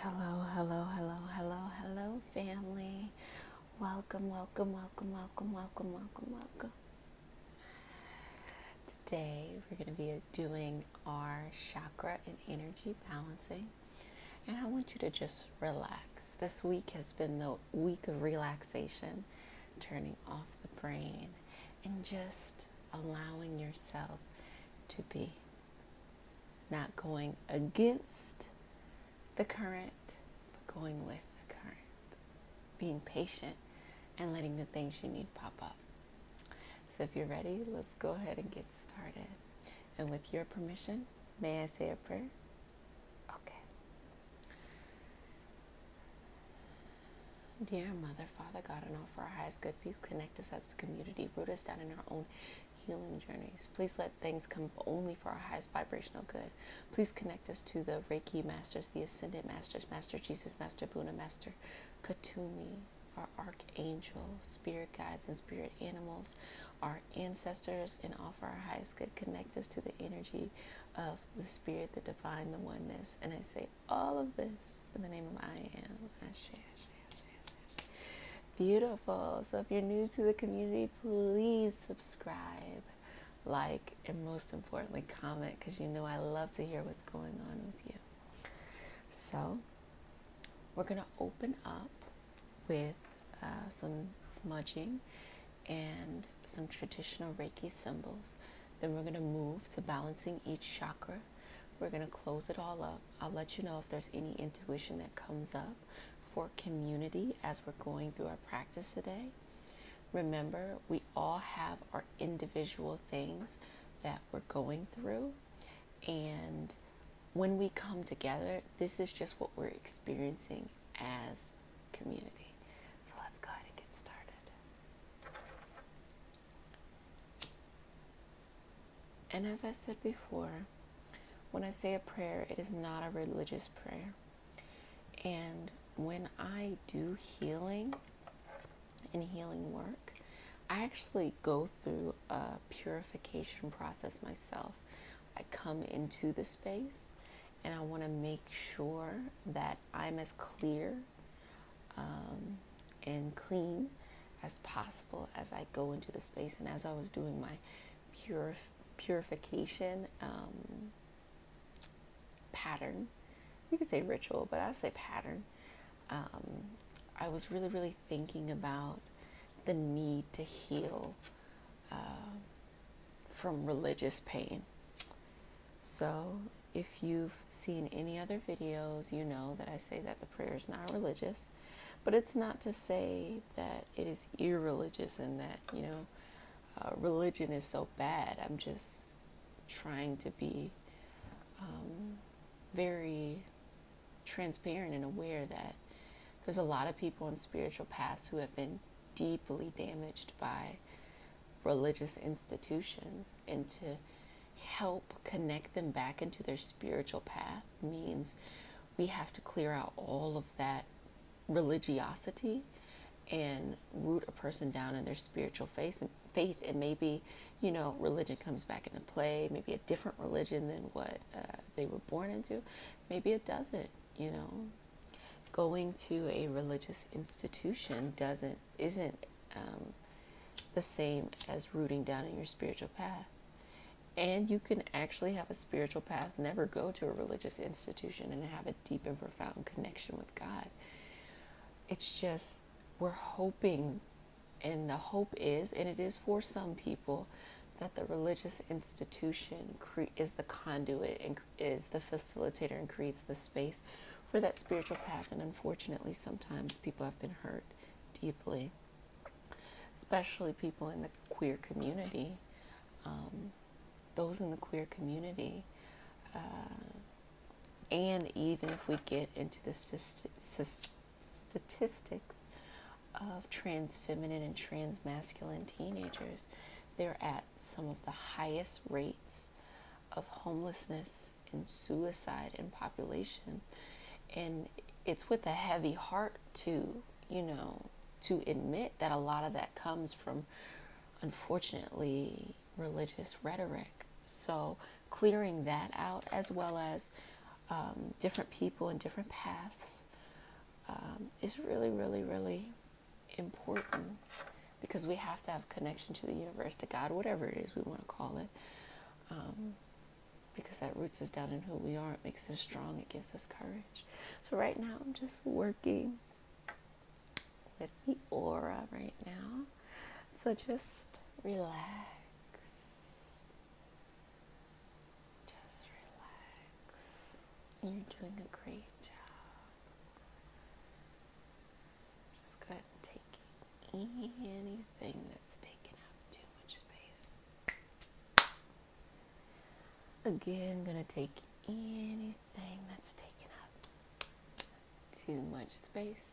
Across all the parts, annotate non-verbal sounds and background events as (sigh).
Hello, hello, hello, hello, hello, family. Welcome, welcome, welcome, welcome, welcome, welcome, welcome. Today we're going to be doing our chakra and energy balancing. And I want you to just relax. This week has been the week of relaxation, turning off the brain, and just allowing yourself to be. Not going against the current, but going with the current. Being patient and letting the things you need pop up. So if you're ready, let's go ahead and get started. And with your permission, may I say a prayer? Okay. Dear Mother, Father, God, and all for our highest good, please connect us as a community, root us down in our own healing journeys. Please let things come only for our highest vibrational good. Please connect us to the Reiki Masters, the Ascended Masters, Master Jesus, Master Buddha, Master Katumi, our Archangel, Spirit Guides, and Spirit Animals, our ancestors, and offer our highest good. Connect us to the energy of the Spirit, the Divine, the Oneness. And I say all of this in the name of I Am. Beautiful. So if you're new to the community, please subscribe, like, and most importantly, comment because you know I love to hear what's going on with you. So we're going to open up with uh, some smudging and some traditional Reiki symbols. Then we're going to move to balancing each chakra we're going to close it all up. I'll let you know if there's any intuition that comes up for community as we're going through our practice today. Remember, we all have our individual things that we're going through. And when we come together, this is just what we're experiencing as community. So let's go ahead and get started. And as I said before, when I say a prayer, it is not a religious prayer. And when I do healing and healing work, I actually go through a purification process myself. I come into the space and I want to make sure that I'm as clear um, and clean as possible as I go into the space and as I was doing my purif purification um, pattern. You could say ritual, but I say pattern. Um, I was really, really thinking about the need to heal uh, from religious pain. So, if you've seen any other videos, you know that I say that the prayer is not religious. But it's not to say that it is irreligious and that, you know, uh, religion is so bad. I'm just trying to be um, very transparent and aware that there's a lot of people in spiritual paths who have been deeply damaged by religious institutions and to help connect them back into their spiritual path means we have to clear out all of that religiosity and root a person down in their spiritual faith and faith and maybe you know religion comes back into play maybe a different religion than what uh, they were born into maybe it doesn't you know going to a religious institution doesn't isn't um, the same as rooting down in your spiritual path and you can actually have a spiritual path, never go to a religious institution, and have a deep and profound connection with God. It's just, we're hoping, and the hope is, and it is for some people, that the religious institution is the conduit and is the facilitator and creates the space for that spiritual path. And unfortunately, sometimes people have been hurt deeply especially people in the queer community, um, those in the queer community, uh, and even if we get into the statistics of trans feminine and trans masculine teenagers, they're at some of the highest rates of homelessness and suicide in population and it's with a heavy heart to, you know, to admit that a lot of that comes from, unfortunately, religious rhetoric. So clearing that out, as well as um, different people and different paths, um, is really, really, really important because we have to have connection to the universe, to God, whatever it is we want to call it. Um, because that roots us down in who we are. It makes us strong. It gives us courage. So right now, I'm just working with the aura right now. So just relax. Just relax. You're doing a great job. Just go and take any anything that's taking up too much space. Again, gonna take anything that's taking up too much space.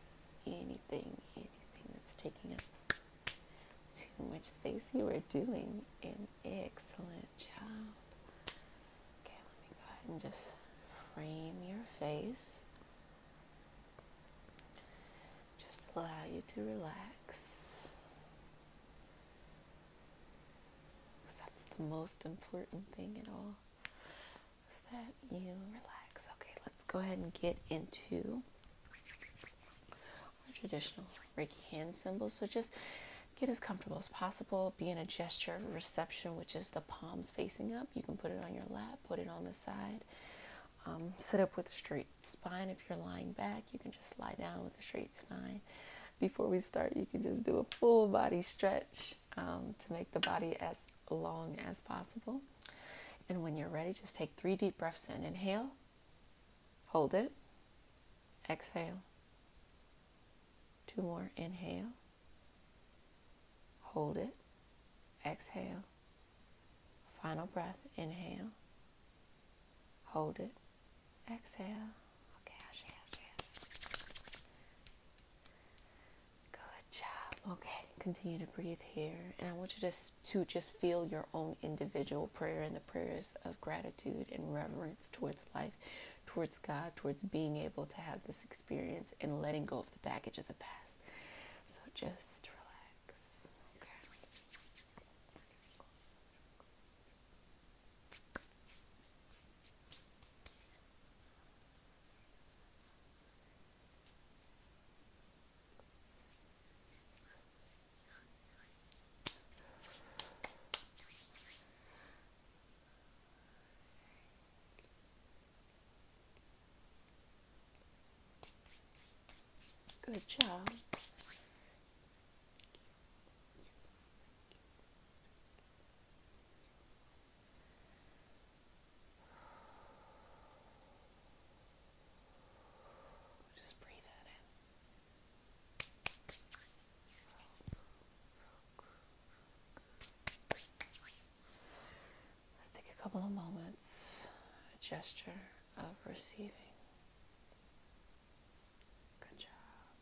Anything, anything that's taking up too much space. You are doing an excellent job. Okay, let me go ahead and just frame your face. Just allow you to relax. Because that's the most important thing in all. Is that you relax. Okay, let's go ahead and get into our traditional Reiki hand symbols. So just get as comfortable as possible. Be in a gesture of reception, which is the palms facing up. You can put it on your lap, put it on the side, um, sit up with a straight spine. If you're lying back, you can just lie down with a straight spine. Before we start, you can just do a full body stretch um, to make the body as long as possible. And when you're ready, just take three deep breaths in. Inhale, hold it, exhale. Two more. Inhale, hold it, exhale. Final breath. Inhale. Hold it. Exhale. Okay, Ashe, Ashe. Good job. Okay, continue to breathe here. And I want you to, to just feel your own individual prayer and the prayers of gratitude and reverence towards life, towards God, towards being able to have this experience and letting go of the baggage of the past. So just relax. Alex. Okay. Okay. Good job. Just breathe that in. Let's take a couple of moments, gesture of receiving. Good job.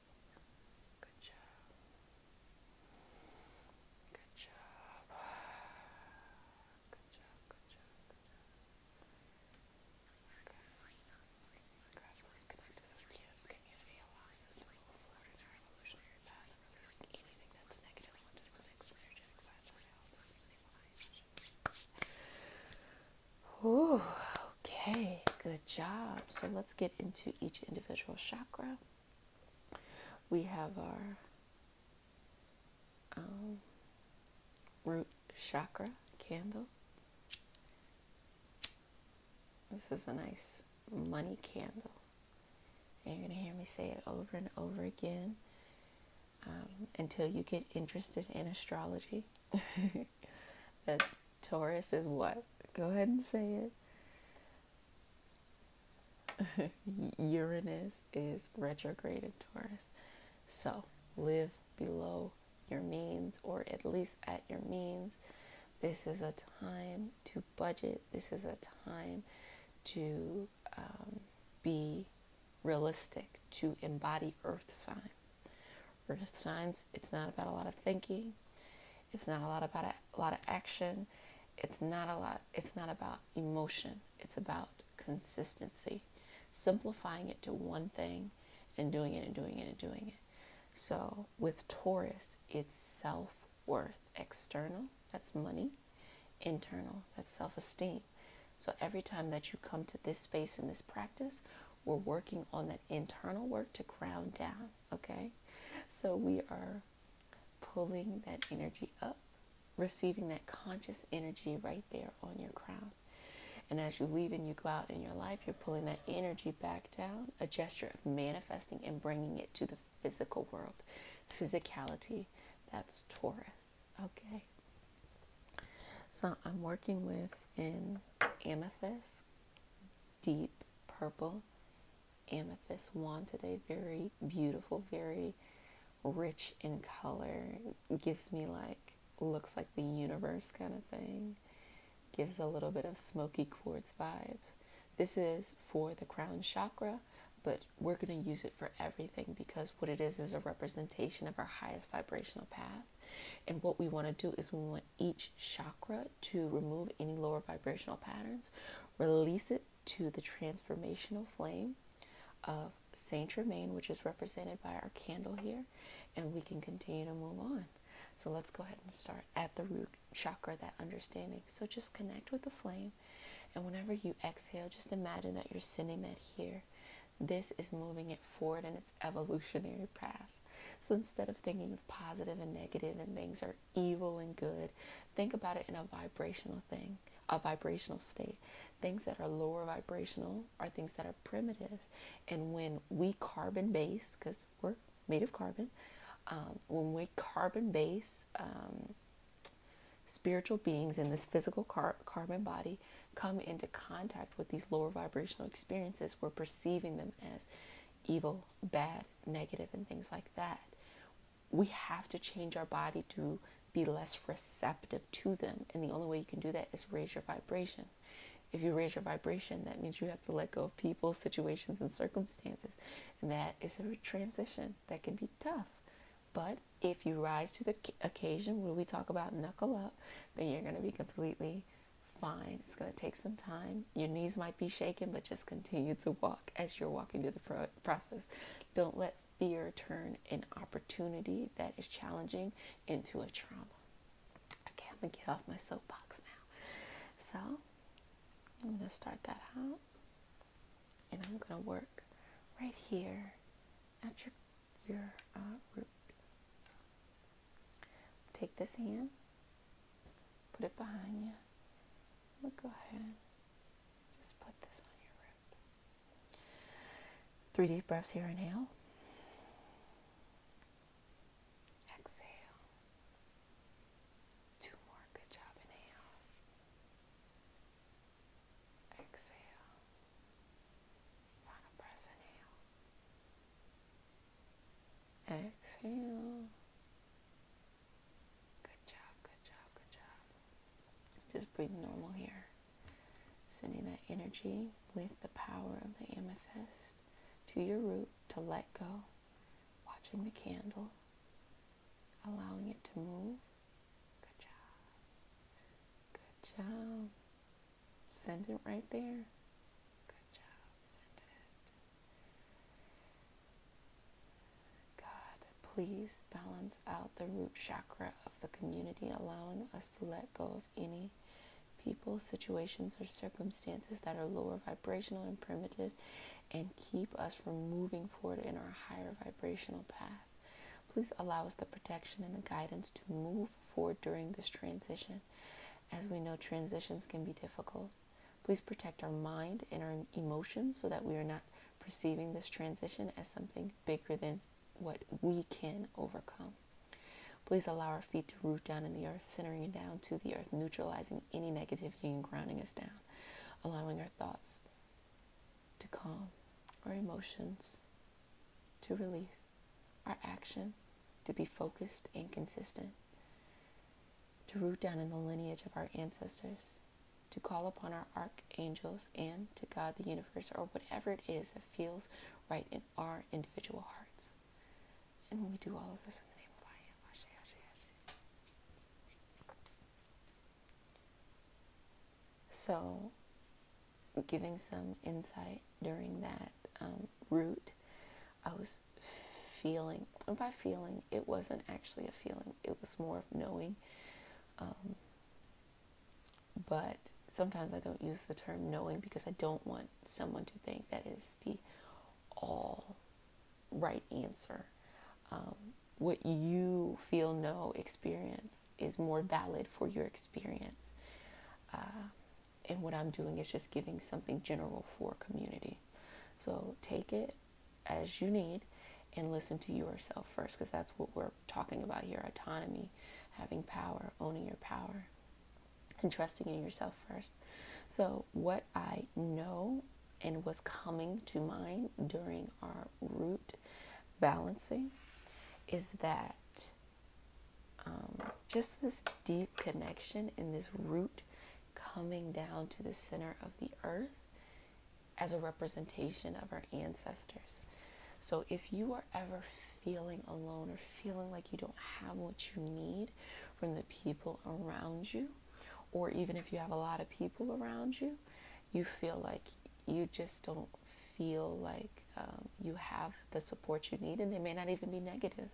Good job. Good job. Good job. Good job. Good job. Ooh, okay, good job. So let's get into each individual chakra. We have our um, root chakra candle. This is a nice money candle. And you're going to hear me say it over and over again. Um, until you get interested in astrology. (laughs) the Taurus is what? Go ahead and say it. (laughs) Uranus is retrograde in Taurus. So live below your means or at least at your means. This is a time to budget. This is a time to um, be realistic to embody earth signs. Earth signs, it's not about a lot of thinking. It's not a lot about a, lot of action. It's not a lot it's not about emotion. It's about consistency. Simplifying it to one thing and doing it and doing it and doing it. So with Taurus, it's self-worth, external, that's money, internal, that's self-esteem so every time that you come to this space in this practice, we're working on that internal work to ground down, okay? So we are pulling that energy up, receiving that conscious energy right there on your crown. And as you leave and you go out in your life, you're pulling that energy back down, a gesture of manifesting and bringing it to the physical world. Physicality, that's Taurus. Okay. So I'm working with an amethyst, deep purple amethyst wanted a Very beautiful, very rich in color. Gives me like, looks like the universe kind of thing. Gives a little bit of smoky quartz vibe. This is for the crown chakra, but we're going to use it for everything because what it is is a representation of our highest vibrational path. And what we want to do is we want each chakra to remove any lower vibrational patterns, release it to the transformational flame of Saint Germain, which is represented by our candle here, and we can continue to move on. So let's go ahead and start at the root chakra, that understanding. So just connect with the flame, and whenever you exhale, just imagine that you're sending that here. This is moving it forward in its evolutionary path. So instead of thinking of positive and negative and things are evil and good, think about it in a vibrational thing, a vibrational state. Things that are lower vibrational are things that are primitive. And when we carbon base, because we're made of carbon, um, when we carbon base um, spiritual beings in this physical car- carbon body come into contact with these lower vibrational experiences, we're perceiving them as evil, bad, negative, and things like that. We have to change our body to be less receptive to them. And the only way you can do that is raise your vibration. If you raise your vibration, that means you have to let go of people, (laughs) situations, and circumstances. And that is a transition that can be tough. But if you rise to the occasion where we talk about knuckle up, then you're going to be completely fine. It's going to take some time. Your knees might be shaking, but just continue to walk as you're walking through the process. Don't let fear turn an opportunity that is challenging into a trauma. Okay, I'm going to get off my soapbox now. So I'm going to start that out. And I'm going to work right here at your uh, take this hand, put it behind you. we go ahead just put this on your root. Three deep breaths here. Inhale. Exhale. Two more. Good job. Inhale. Exhale. Final breath, inhale. Exhale. Good job, good job, good job. Just breathe normal here. Sending that energy with the power of the amethyst to your root to let go. Watching the candle. Allowing it to move Good job. Good job. Send it right there. Good job. God, please balance out the root chakra of the community, allowing us to let go of any people, situations, or circumstances that are lower vibrational and primitive and keep us from moving forward in our higher vibrational path. Please allow us the protection and the guidance to move forward during this transition. As we know, transitions can be difficult. Please protect our mind and our emotions so that we are not perceiving this transition as something bigger than what we can overcome. Please allow our feet to root down in the earth, centering down to the earth, neutralizing any negativity and grounding us down, allowing our thoughts to calm our emotions, to release our actions, to be focused and consistent, to root down in the lineage of our ancestors, to call upon our archangels and to God the universe or whatever it is that feels right in our individual hearts. And we do all of this in the name of I am. Ashe, ashe, ashe. So giving some insight during that um, route, I was feeling, and by feeling, it wasn't actually a feeling, it was more of knowing. Um, but sometimes I don't use the term knowing because I don't want someone to think that is the all right answer. Um, what you feel, know, experience is more valid for your experience. Uh, and what I'm doing is just giving something general for community. So take it as you need and listen to yourself first because that's what we're talking about here autonomy, having power, owning your power, and trusting in yourself first. So, what I know and what's coming to mind during our root balancing is that um, just this deep connection and this root coming down to the center of the earth as a representation of our ancestors. So if you are ever feeling alone or feeling like you don't have what you need from the people around you, or even if you have a lot of people around you, you feel like you just don't feel like um, you have the support you need, and it may not even be negative,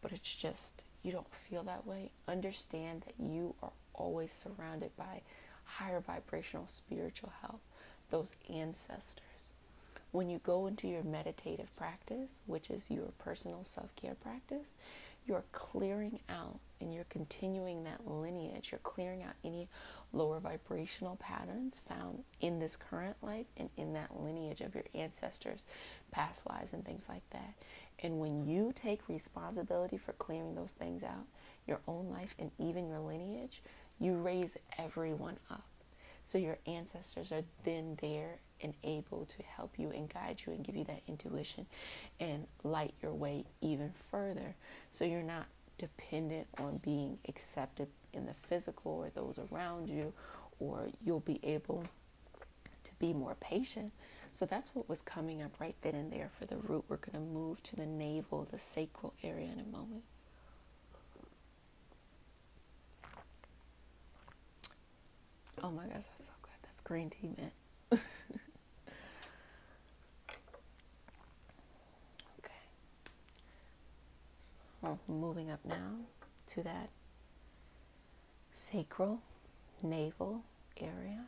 but it's just you don't feel that way. Understand that you are always surrounded by higher vibrational spiritual help, those ancestors. When you go into your meditative practice, which is your personal self care practice, you're clearing out and you're continuing that lineage. You're clearing out any lower vibrational patterns found in this current life and in that lineage of your ancestors, past lives, and things like that. And when you take responsibility for clearing those things out, your own life and even your lineage, you raise everyone up. So your ancestors are then there and able to help you and guide you and give you that intuition and light your way even further. So you're not dependent on being accepted in the physical or those around you, or you'll be able to be more patient. So that's what was coming up right then and there for the root. We're going to move to the navel, the sacral area in a moment. Oh my gosh, that's so good. That's green tea mint. (laughs) okay moving up now to that sacral, navel area.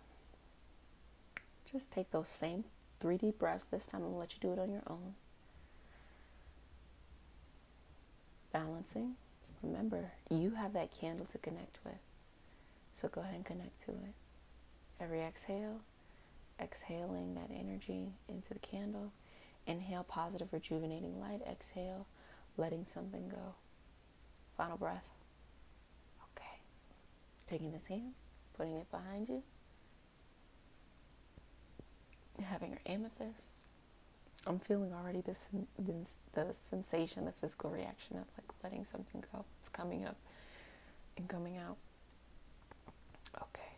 Just take those same three deep breaths. This time I'm gonna let you do it on your own. Balancing. Remember, you have that candle to connect with. So go ahead and connect to it. Every exhale, exhaling that energy into the candle. Inhale, positive, rejuvenating light. Exhale, letting something go. Final breath. Okay. Taking this hand, putting it behind you. Having your amethyst. I'm feeling already this, this the sensation, the physical reaction of like letting something go. It's coming up and coming out. Okay.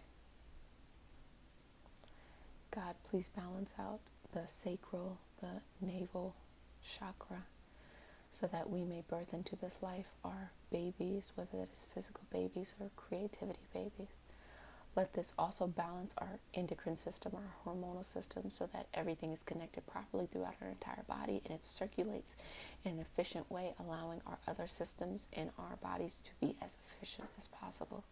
God, please balance out the sacral, the navel chakra, so that we may birth into this life our babies, whether it is physical babies or creativity babies. Let this also balance our endocrine system, our hormonal system, so that everything is connected properly throughout our entire body and it circulates in an efficient way, allowing our other systems in our bodies to be as efficient as possible.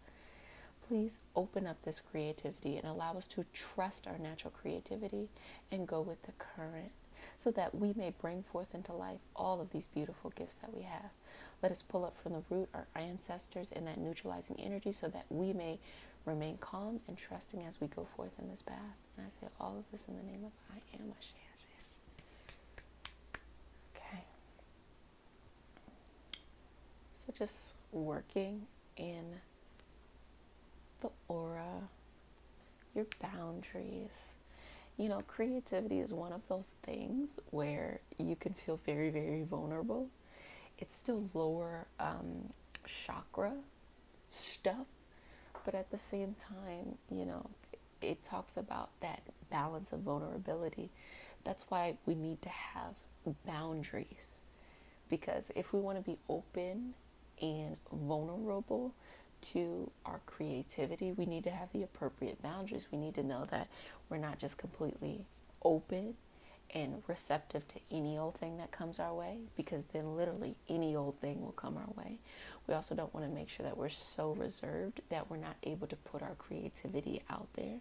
Please open up this creativity and allow us to trust our natural creativity and go with the current so that we may bring forth into life all of these beautiful gifts that we have. Let us pull up from the root our ancestors in that neutralizing energy so that we may remain calm and trusting as we go forth in this path. And I say all of this in the name of I am Ashe. Okay. So just working in the aura, your boundaries. You know, creativity is one of those things where you can feel very, very vulnerable. It's still lower um, chakra stuff, but at the same time, you know, it talks about that balance of vulnerability. That's why we need to have boundaries. Because if we want to be open and vulnerable to our creativity, we need to have the appropriate boundaries. We need to know that we're not just completely open and receptive to any old thing that comes our way because then literally any old thing will come our way. We also don't want to make sure that we're so reserved that we're not able to put our creativity out there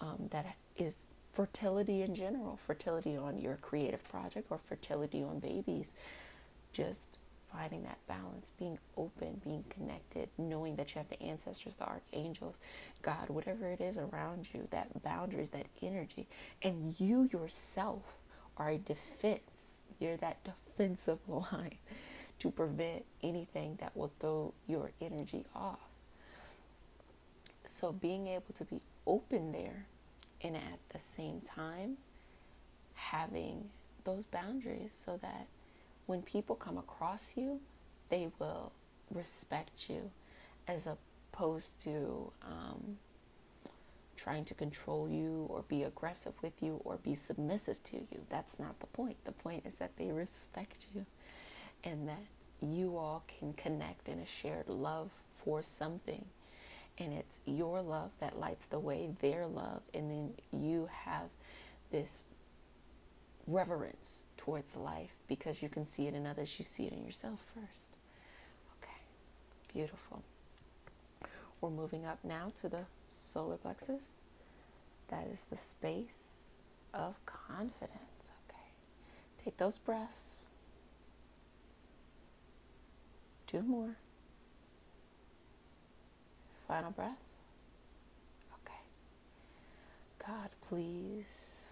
um, that is fertility in general, fertility on your creative project or fertility on babies. Just finding that balance, being open, being connected, knowing that you have the ancestors, the archangels, God, whatever it is around you, that boundaries, that energy, and you yourself are a defense you're that defensive (laughs) line to prevent anything that will throw your energy off. So being able to be open there and at the same time having those boundaries so that when people come across you, they will respect you as opposed to um, trying to control you or be aggressive with you or be submissive to you. That's not the point. The point is that they respect you and that you all can connect in a shared love for something. And it's your love that lights the way, their love, and then you have this reverence towards life because you can see it in others, you see it in yourself first. Okay, beautiful. We're moving up now to the solar plexus. That is the space of confidence. Okay. Take those breaths. Two more. Final breath. Okay. God, please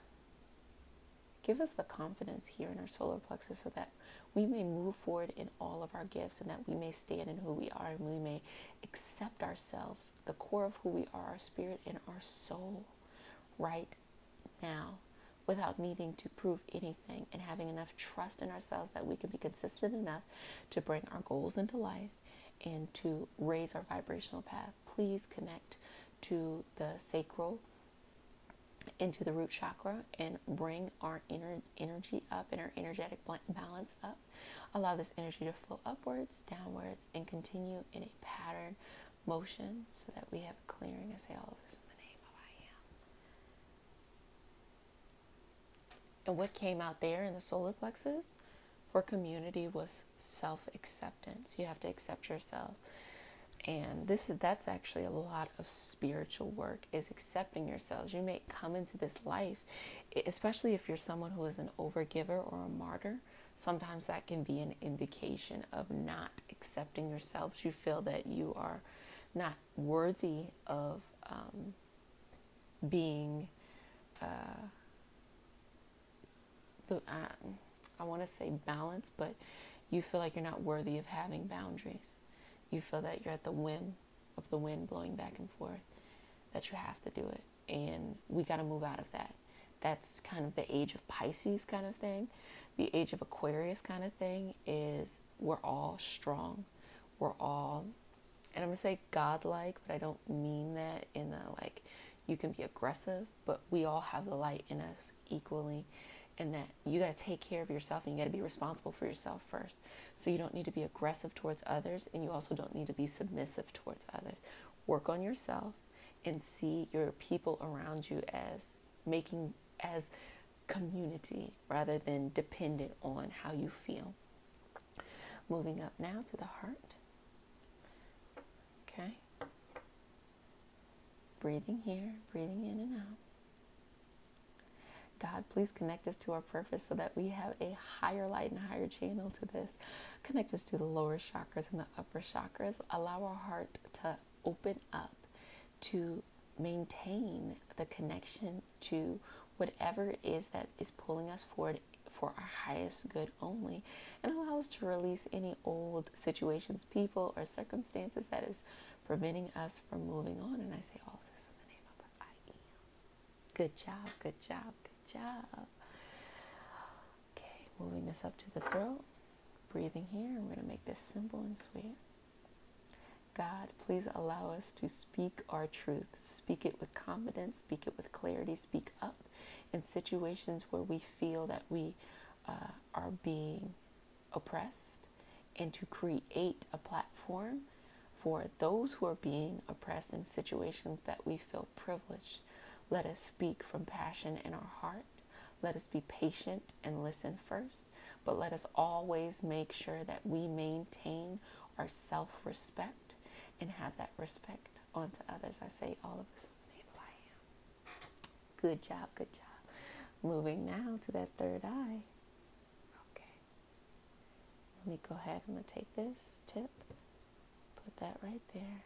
give us the confidence here in our solar plexus so that we may move forward in all of our gifts and that we may stand in who we are and we may accept ourselves, the core of who we are, our spirit and our soul, right now, without needing to prove anything and having enough trust in ourselves that we can be consistent enough to bring our goals into life and to raise our vibrational path. Please connect to the sacral into the root chakra and bring our inner energy up and our energetic balance up Allow this energy to flow upwards, downwards, and continue in a pattern motion so that we have a clearing. I say all of this in the name of I am. And what came out there in the solar plexus for community was self acceptance. You have to accept yourself. And this is that's actually a lot of spiritual work is accepting yourselves. You may come into this life especially if you're someone who is an overgiver or a martyr, sometimes that can be an indication of not accepting yourselves. You feel that you are not worthy of um, being uh, the. Uh, I want to say balance, but you feel like you're not worthy of having boundaries. You feel that you're at the whim of the wind blowing back and forth that you have to do it. And we got to move out of that. That's kind of the age of Pisces kind of thing. The age of Aquarius kind of thing is we're all strong. We're all, and I'm going to say godlike, but I don't mean that in the like, you can be aggressive, but we all have the light in us equally. And that you got to take care of yourself and you got to be responsible for yourself first. So you don't need to be aggressive towards others and you also don't need to be submissive towards others. Work on yourself and see your people around you as making as community rather than dependent on how you feel. Moving up now to the heart. Okay. Breathing here, breathing in and out. God, please connect us to our purpose so that we have a higher light and higher channel to this. Connect us to the lower chakras and the upper chakras. Allow our heart to open up to maintain the connection to whatever it is that is pulling us forward for our highest good only and allow us to release any old situations, people, or circumstances that is preventing us from moving on. And I say all of this in the name of I am. Good job, good job, good job. Okay, moving this up to the throat. Breathing here, we're going to make this simple and sweet. God, please allow us to speak our truth. Speak it with confidence, speak it with clarity, speak up in situations where we feel that we uh, are being oppressed, and to create a platform for those who are being oppressed in situations that we feel privileged, let us speak from passion in our heart. Let us be patient and listen first, but let us always make sure that we maintain our self respect and have that respect onto others. I say all of us who I am. Good job, good job. Moving now to that third eye. Okay. Let me go ahead. I'm going to take this tip, put that right there.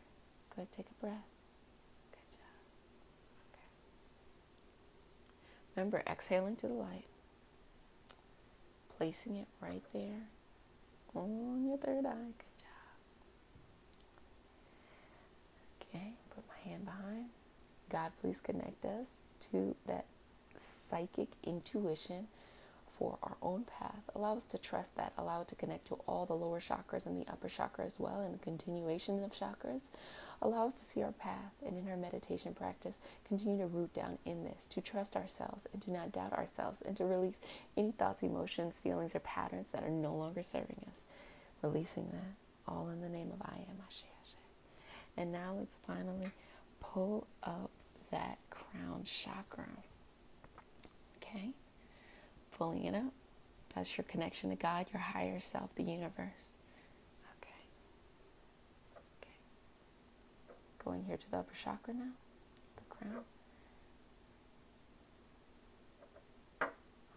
Go ahead, take a breath. Good job. Okay. Remember, exhaling to the light, placing it right there on your third eye. Good job. Okay, put my hand behind. God, please connect us to that psychic intuition for our own path. Allow us to trust that. Allow it to connect to all the lower chakras and the upper chakra as well, and the continuation of chakras. Allow us to see our path, and in our meditation practice, continue to root down in this, to trust ourselves and do not doubt ourselves, and to release any thoughts, emotions, feelings, or patterns that are no longer serving us. Releasing that, all in the name of I am Ashe Ashe. And now let's finally pull up that crown chakra. Okay? Pulling it up. That's your connection to God, your higher self, the universe. Okay. Okay. Going here to the upper chakra now, the crown.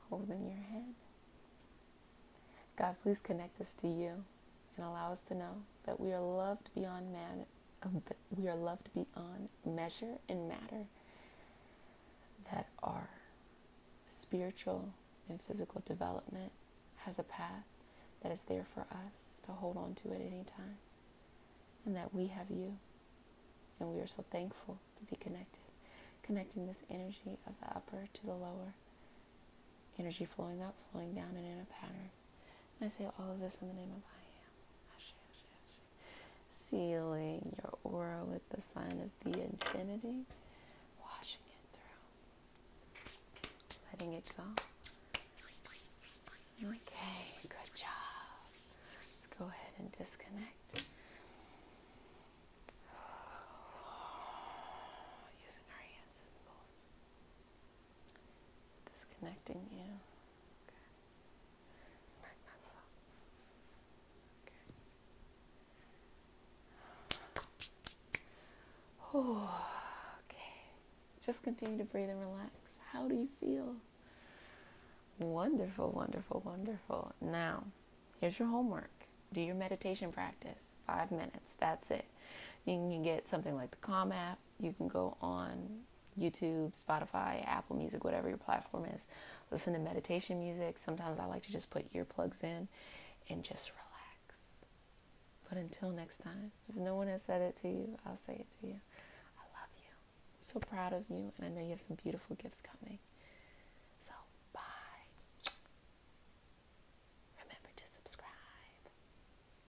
Holding your head. God, please connect us to you and allow us to know that we are loved beyond man we are loved beyond measure and matter that our spiritual and physical development has a path that is there for us to hold on to at any time and that we have you and we are so thankful to be connected connecting this energy of the upper to the lower energy flowing up flowing down and in a pattern I say all of this in the name of I am. Sealing your aura with the sign of the infinity, washing it through, letting it go. Okay, good job. Let's go ahead and disconnect. (sighs) Using our hands and pulse disconnecting you. (sighs) Okay. Just continue to breathe and relax. How do you feel? Wonderful, wonderful, wonderful. Now, here's your homework. Do your meditation practice. Five minutes. That's it. You can get something like the Calm app you can go on YouTube, Spotify, Apple Music, whatever your platform is. Listen to meditation music. Sometimes I like to just put earplugs in and just relax. But until next time, if no one has said it to you, I'll say it to you. I love you. so proud of you, and I know you have some beautiful gifts coming. So, bye. Remember to subscribe.